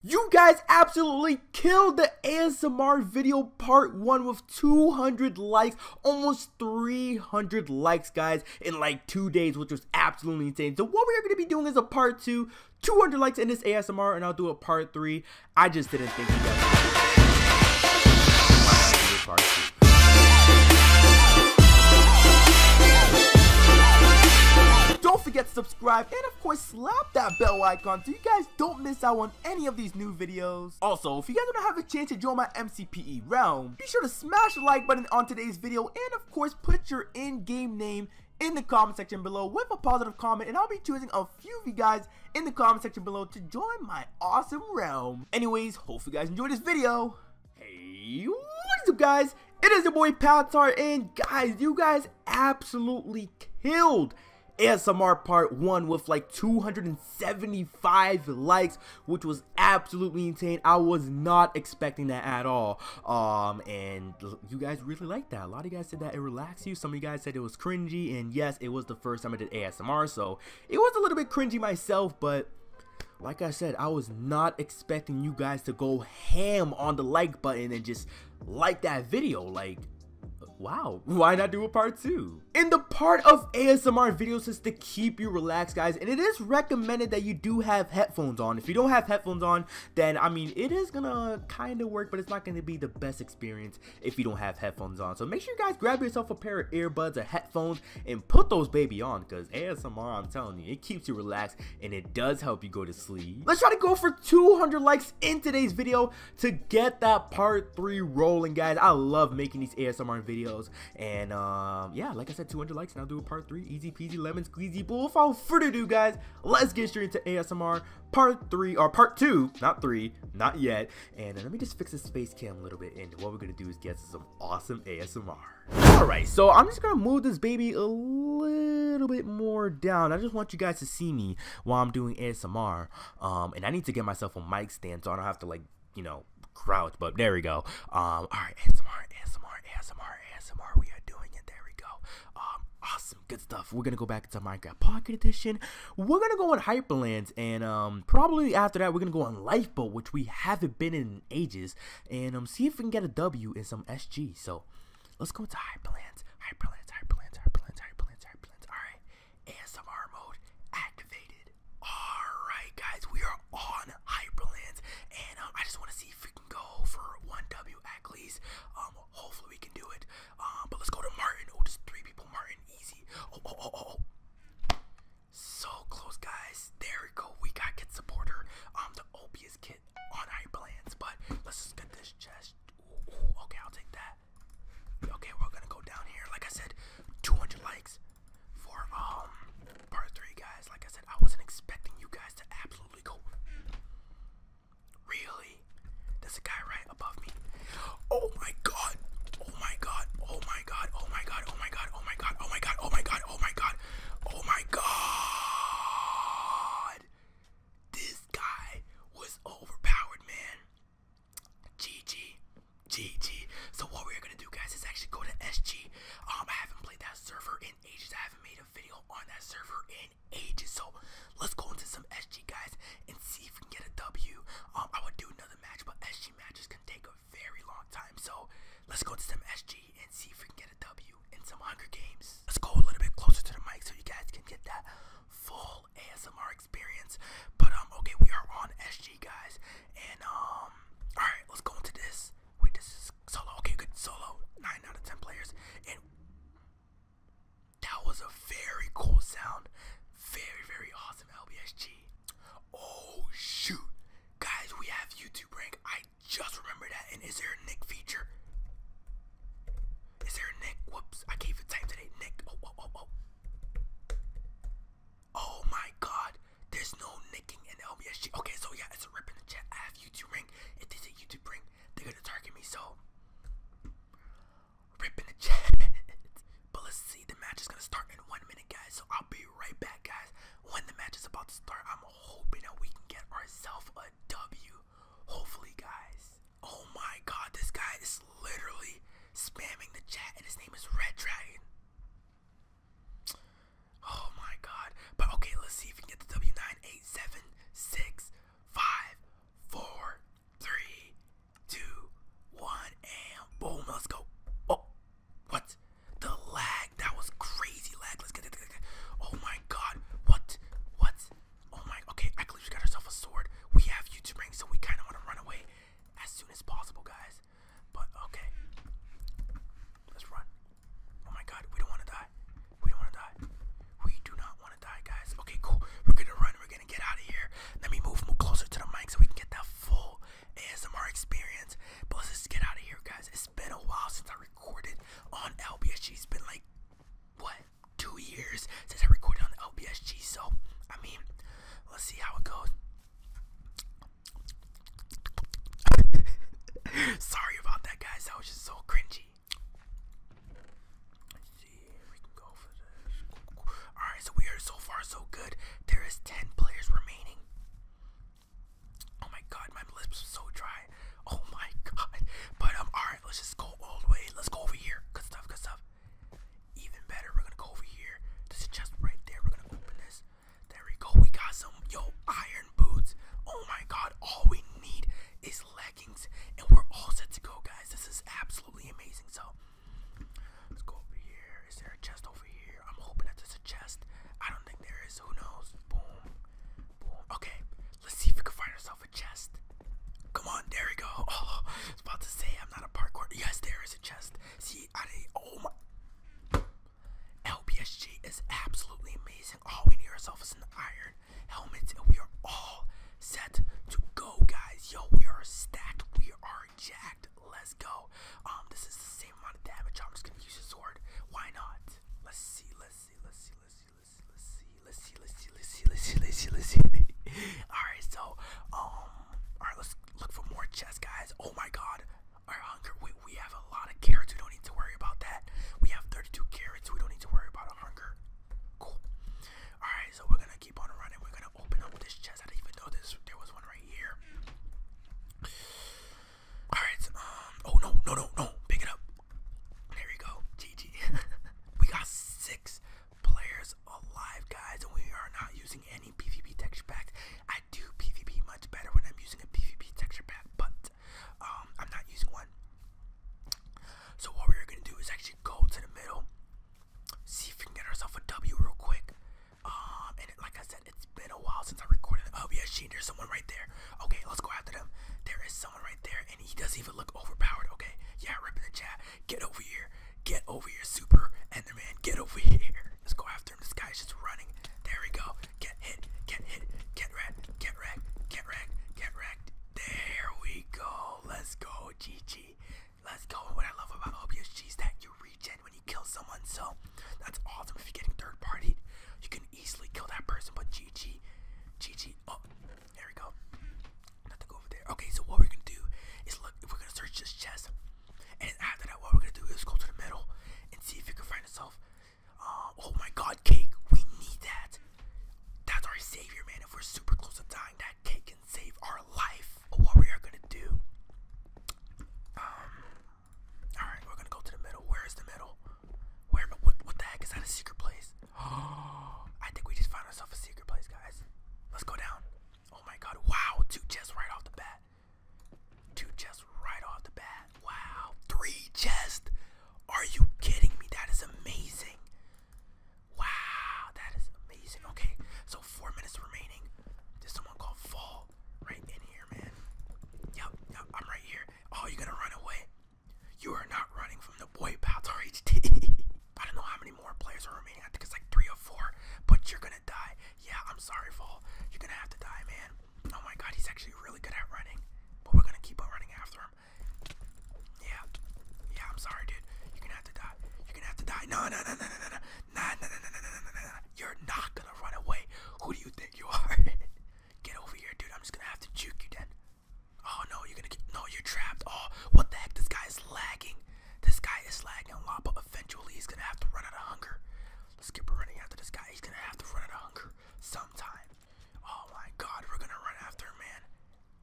You guys absolutely killed the ASMR video part 1 with 200 likes, almost 300 likes guys in like 2 days which was absolutely insane. So what we are going to be doing is a part 2, 200 likes in this ASMR and I'll do a part 3. I just didn't think you guys part Don't forget to subscribe and of course slap that bell icon so you guys don't miss out on any of these new videos. Also, if you guys don't have a chance to join my MCPE realm, be sure to smash the like button on today's video and of course put your in-game name in the comment section below with a positive comment and I'll be choosing a few of you guys in the comment section below to join my awesome realm. Anyways, hope you guys enjoyed this video. Hey, what is up guys? It is your boy Patsar and guys, you guys absolutely killed ASMR part 1 with like 275 likes, which was absolutely insane. I was not expecting that at all. Um, and you guys really liked that. A lot of you guys said that it relaxed you. Some of you guys said it was cringy, and yes, it was the first time I did ASMR, so it was a little bit cringy myself, but like I said, I was not expecting you guys to go ham on the like button and just like that video, like, wow, why not do a part two? In the part of ASMR videos is to keep you relaxed, guys, and it is recommended that you do have headphones on. If you don't have headphones on, then, I mean, it is gonna kinda work, but it's not gonna be the best experience if you don't have headphones on. So make sure you guys grab yourself a pair of earbuds or headphones and put those baby on, because ASMR, I'm telling you, it keeps you relaxed and it does help you go to sleep. Let's try to go for 200 likes in today's video to get that part 3 rolling guys. I love making these ASMR videos and um, yeah like I said 200 likes and I'll do a part 3 easy peasy lemon squeezy but without further ado guys let's get straight into ASMR part 3 or part 2 not 3 not yet and uh, let me just fix this face cam a little bit and what we're gonna do is get some awesome ASMR. Alright so I'm just gonna move this baby a little bit more down. I just want want you guys to see me while I'm doing ASMR. Um, and I need to get myself a mic stand so I don't have to like, you know, crouch. But there we go. Um, all right, ASMR, ASMR, ASMR, ASMR. We are doing it. There we go. Um, awesome, good stuff. We're gonna go back into Minecraft Pocket Edition. We're gonna go on Hyperlands, and probably after that, we're gonna go on Lifeboat, which we haven't been in, ages, and see if we can get a W in some SG. So Let's go into hyperlands, hyperlands, hyperlands, hyperlands, hyperlands, hyperlands. All right, ASMR mode activated. All right, guys, we are on hyperlands, and um, I just want to see if we can go for one W at least. Um, hopefully we can do it. Um, but let's go to Martin. Oh, just three people, Martin. Easy. Oh, oh, oh, oh. oh. So close, guys. There we go. We got Kid Supporter. Um, the Opius Kid on our plans, but let's get this chest. okay, I'll take that. Okay, we're gonna go down here. Like I said, 200 likes for um part three, guys. Like I said, I wasn't expecting you guys to absolutely go. Really? There's a guy right above me. Oh my god! Oh my god! Oh my god! Oh my god! Oh my god! Oh my god! Oh my god! Oh my god! Oh my god! This guy was overpowered, man. GG. GG. So what we're gonna do guys is actually go to SG. Um I haven't played that server in ages. I haven't made a video on that server in ages. So let's go into some SG guys and see if we can get a W. Um I would do another match, but SG matches can take a very long time. So let's go to some SG and see if we can get a W you in some Hunger Games. Let's go a little bit closer to the mic so you guys can get that full ASMR experience. But um, okay, we are on SG guys, and um, all right, let's go into this. Wait, this is solo. Okay, good solo. Nine out of ten players, and that was a very cool sound. Very very awesome LBSG. Oh shoot, guys, we have YouTube rank. I just remember that. And is there a Nick feature? Is there a Nick? Whoops, I gave it time today. Nick. Oh, oh, oh, oh. Oh my god. There's no nicking in LBSG. Okay, so yeah, it's a rip the chat. I have YouTube ring. If they YouTube ring, they're gonna target me, so rip the chat. but let's see, the match is gonna start in one minute, guys. So I'll be right back, guys. When the match is about to start, I'm hoping that we can get ourselves a a W. Hopefully, guys. Oh my god, this guy is literally spamming the chat, and his name is Red Dragon. Oh my god. But okay, let's see if we get the W9, and boom, let's go. Oh, what? The lag, that was crazy lag. Let's get it. Oh my god. What? What? Oh my. Okay, I believe she got herself a sword. We have YouTube rings, so we kind of want to run away as soon as possible, guys. But okay. Let's run. Oh my god, we don't want to die. We don't want to die. We do not want to die, guys. Okay, cool. We're going to run. We're going to get out of here. Let me move closer to the mic so we can get that full ASMR experience. But let's get out of here, guys. It's been a while since I recorded on LBSG. It's been like what two years since I recorded on LBSG. So I mean, let's see how it goes. Sorry about that, guys. That was just so cringy. Let's see, we can go for this. All right, so we are so far so good. There is ten players remaining. Oh my god, my lips are so dry. Oh my god. But um, all right, let's just go all the way. Let's go over here. Good stuff. Good stuff. Even better, we're gonna go over here. This is just right there. We're gonna open this. There we go. We got some yo iron boots. Oh my god, all we need is leggings, and we're all set to go, guys. This is absolutely amazing. So let's go over here. Is there a chest over here? I'm hoping that there's a chest. I don't think there is. Who knows? Boom. Okay, let's see if we can find ourselves a chest. Come on, there we go. Oh, I was about to say I'm not a parkour. Yes, there is a chest. See, I did Oh my. LBSG is absolutely amazing. All we need ourselves is an iron helmet, and we are all set to go, guys. Yo, we are stacked. We are jacked. Let's go. Um, this is the same amount of damage. I'm just gonna use a sword. Why not? Let's see. Let's see, let's see, let's see, let's see, let's see, let's see, let's see, let's see, let's see, let's see, let's see. Alright, so um alright, let's look for more chests, guys. Oh my god. Our hunger, we we have a lot of carrots, we don't need to worry about that. We have 32 carrots, we don't need to worry about a hunger. Cool. Alright, so we're gonna keep on running. We're gonna open up this chest. I didn't even know this there was one right here. Alright, um, oh no, no, no, no, pick it up. There we go. GG. we got six players alive, guys, and we are not using any PvP texture packs. I do PvP much better when I'm using a PvP texture pack, but um, I'm not using one. So what we're gonna do is actually go to the middle, see if we can get ourselves a W real quick. Um, and like I said, it's been a while since I recorded. Oh yeah, she there's someone right there. Okay, let's go after them. There is someone right there, and he doesn't even look overpowered. Okay, yeah, rip in the chat. Get over here. Get over here, super enderman. Get over here. Let's go after him. This guy's just running. There we go. Get hit. Get hit. Get wrecked. Get wrecked. Get wrecked. Get wrecked. There we go. Let's go, GG. Let's go. What I love about Obvious OBSG is that you regen when you kill someone. So that's awesome. If you're getting third party, you can easily kill that person, but GG. GG. Oh, there we go. Not to go over there. Okay, so what we're gonna do is look, we're gonna search this chest. And after that, what we're gonna do is go to the middle and see if we can find itself. Uh, oh my god, cake. We need that. That's our savior, man. If we're super close to dying, that cake can save our life. What we are gonna do. Um, all right, we're gonna go to the middle. Where is the middle? Where? What? the heck is that? A secret place? Oh, I think we just found ourselves a secret place, guys. Let's go down. Oh my God! Wow, two chests right off the bat. Two chests right off the bat. Wow, three chests. Are you kidding me? That is amazing. Wow, that is amazing. Okay, so four minutes remaining. There's someone called Fall right in here, man. Yep, yep, I'm right here. Oh, you gonna run away. You are not running from the boy Baltar HD. I don't know how many more players are remaining. I think it's like three or four. But you're gonna die. Yeah, I'm sorry, Fall. You're gonna have to die, man. Oh my god, he's actually really good at running. But we're gonna keep on running after him. Yeah. Yeah, I'm sorry, dude. You're gonna have to die. You're gonna have to die. No, no, no, no, no, no, no. no, no, no, no, no, no, no, no. You're not gonna run away. Who do you think you are? Get over here, dude. I'm just gonna have to juke you then. Oh no, you're gonna get no, you're trapped. Oh, what the heck? This guy is lagging. This guy is lagging a eventually he's gonna have to run out of hunger. Let's keep running after this guy. He's gonna have to run out of hunger sometime. Oh my god, we're gonna run after him, man.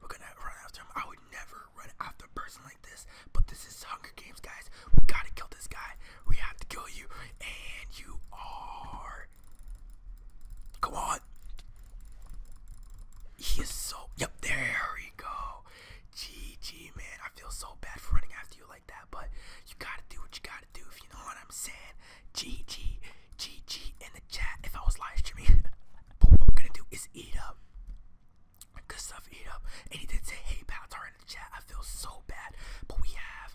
We're gonna run after him. I would never run after a person like this, but this is Hunger Games, guys. We gotta kill this guy. We have to kill you, and you are Come on. He is so. Yep, there we go. GG, man. I feel so bad for running after you like that, but you gotta do what you gotta do if you know what I'm saying. GG, GG in the chat. If I was live streaming, what we're gonna do is eat up. Good stuff, eat up. And he did say, hey, Palatar in the chat. I feel so bad, but we have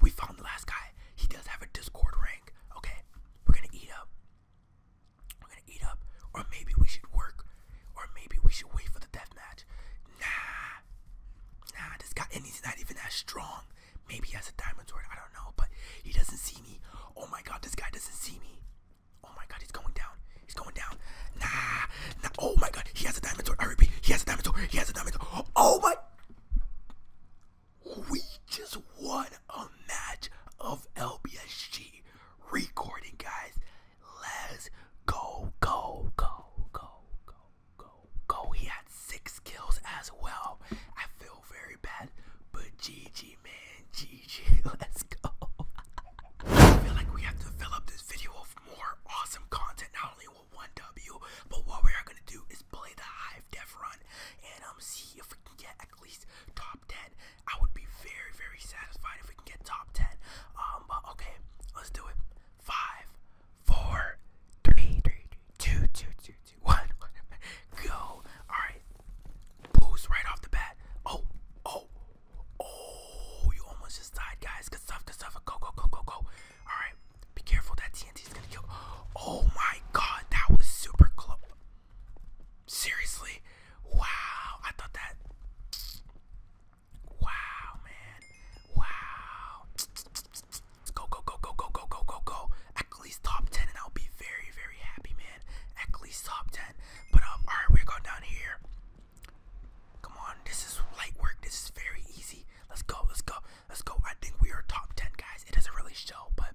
we found the last guy. He does have a Discord rank. Okay, we're gonna eat up. We're gonna eat up. Or maybe we should work. Or maybe we should wait for the death match. Nah. Nah, this guy, and he's not even that strong. Maybe has a diamond sword, I don't know, but he doesn't see me. Oh my god, this guy doesn't see me. Oh my god, he's going down. He's going down. Nah, now, oh my god, he has a diamond sword. I repeat, he has a diamond sword. He has a diamond sword. Oh my. We just won a match of LBSG recording, guys. Let's go, go, go, go, go, go, go. He had six kills as well. I feel very bad, but GG, man. GG. Let's go. I feel like we have to fill up this video with more awesome content. Not only one W. But what we are gonna do is play the Hive Def run and um see if we can get at least top ten. I would be very very satisfied if we can get top ten. Um, but okay, let's do it. Five, four, three, three, two, two, two, two, one. Go. All right. Boost right off the bat. Oh, oh, oh! You almost just died, guys. Good stuff. Good stuff. Go, go, go, go, go. Alright, be careful. That TNT is gonna kill. Oh my god, that was super close. Seriously? Wow, I thought that. Wow, man. Wow. Let's go, go, go, go, go, go, go, go, go. At least top 10, and I'll be very, very happy, man. At least top 10. But, um, alright, we're going down here. Come on, this is light work. This is very easy. Let's go, let's go, let's go. I think we are top 10, guys. It doesn't really show, but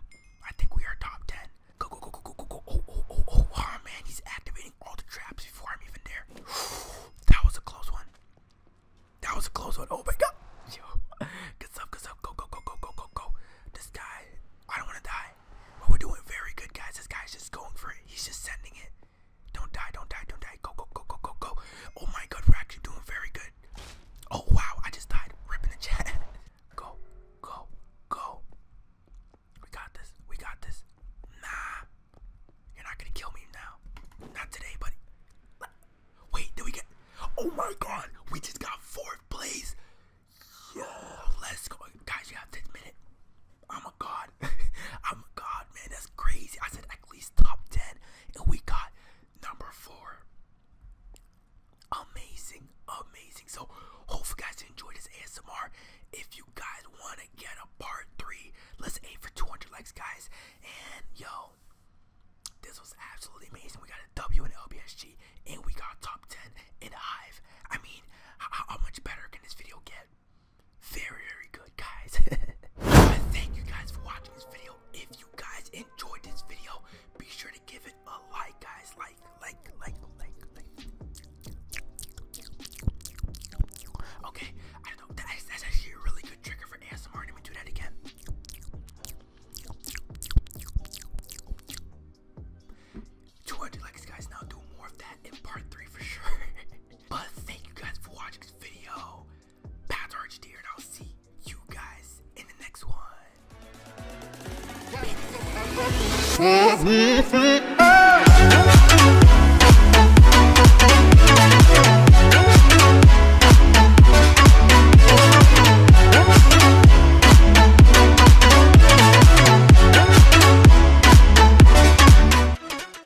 I think we are top 10. Go, go, go, go, go, go, go. Oh, oh, oh, oh, oh, man. He's activating all the traps before I'm even there. that was a close one. That was a close one. Oh, my God. Yo. Good stuff, good stuff. Go, go, go, go, go, go, go. This guy, I don't want to die. But we're doing very good, guys. This guy's just going for it. He's just sending it. Don't die, don't die, don't die. Go, go, go, go, go, go. Oh my god, we're doing very good. Oh wow, I just died. Ripping the chat. go, go, go. We got this. We got this. Nah. You're not gonna kill me now. Not today, buddy. Wait, did we get Oh my god! We just got fourth place! Yo, let's go. Guys, you have this minute. I'm a god. I'm a god, man. That's crazy. I said at least top 10, and we got number four. Amazing, amazing. So, hope you guys enjoy this ASMR. If you guys want to get a part three, let's aim for 200 likes, guys. And yo, this was absolutely amazing. We got a W in LBSG, and we got top 10 in Hive. I mean, how much better can this video get? very, very good, guys. thank you guys for watching this video. If you guys enjoyed this video, be sure to give it a like, guys. Like, like, like, like, like. Okay, I don't know. That's, that's actually a really good trigger for ASMR. Let me do that again. Two hundred likes, guys. Now do more of that in part three for sure. But thank you guys for watching this video. Pat Arch dear, and I'll see you guys in the next one.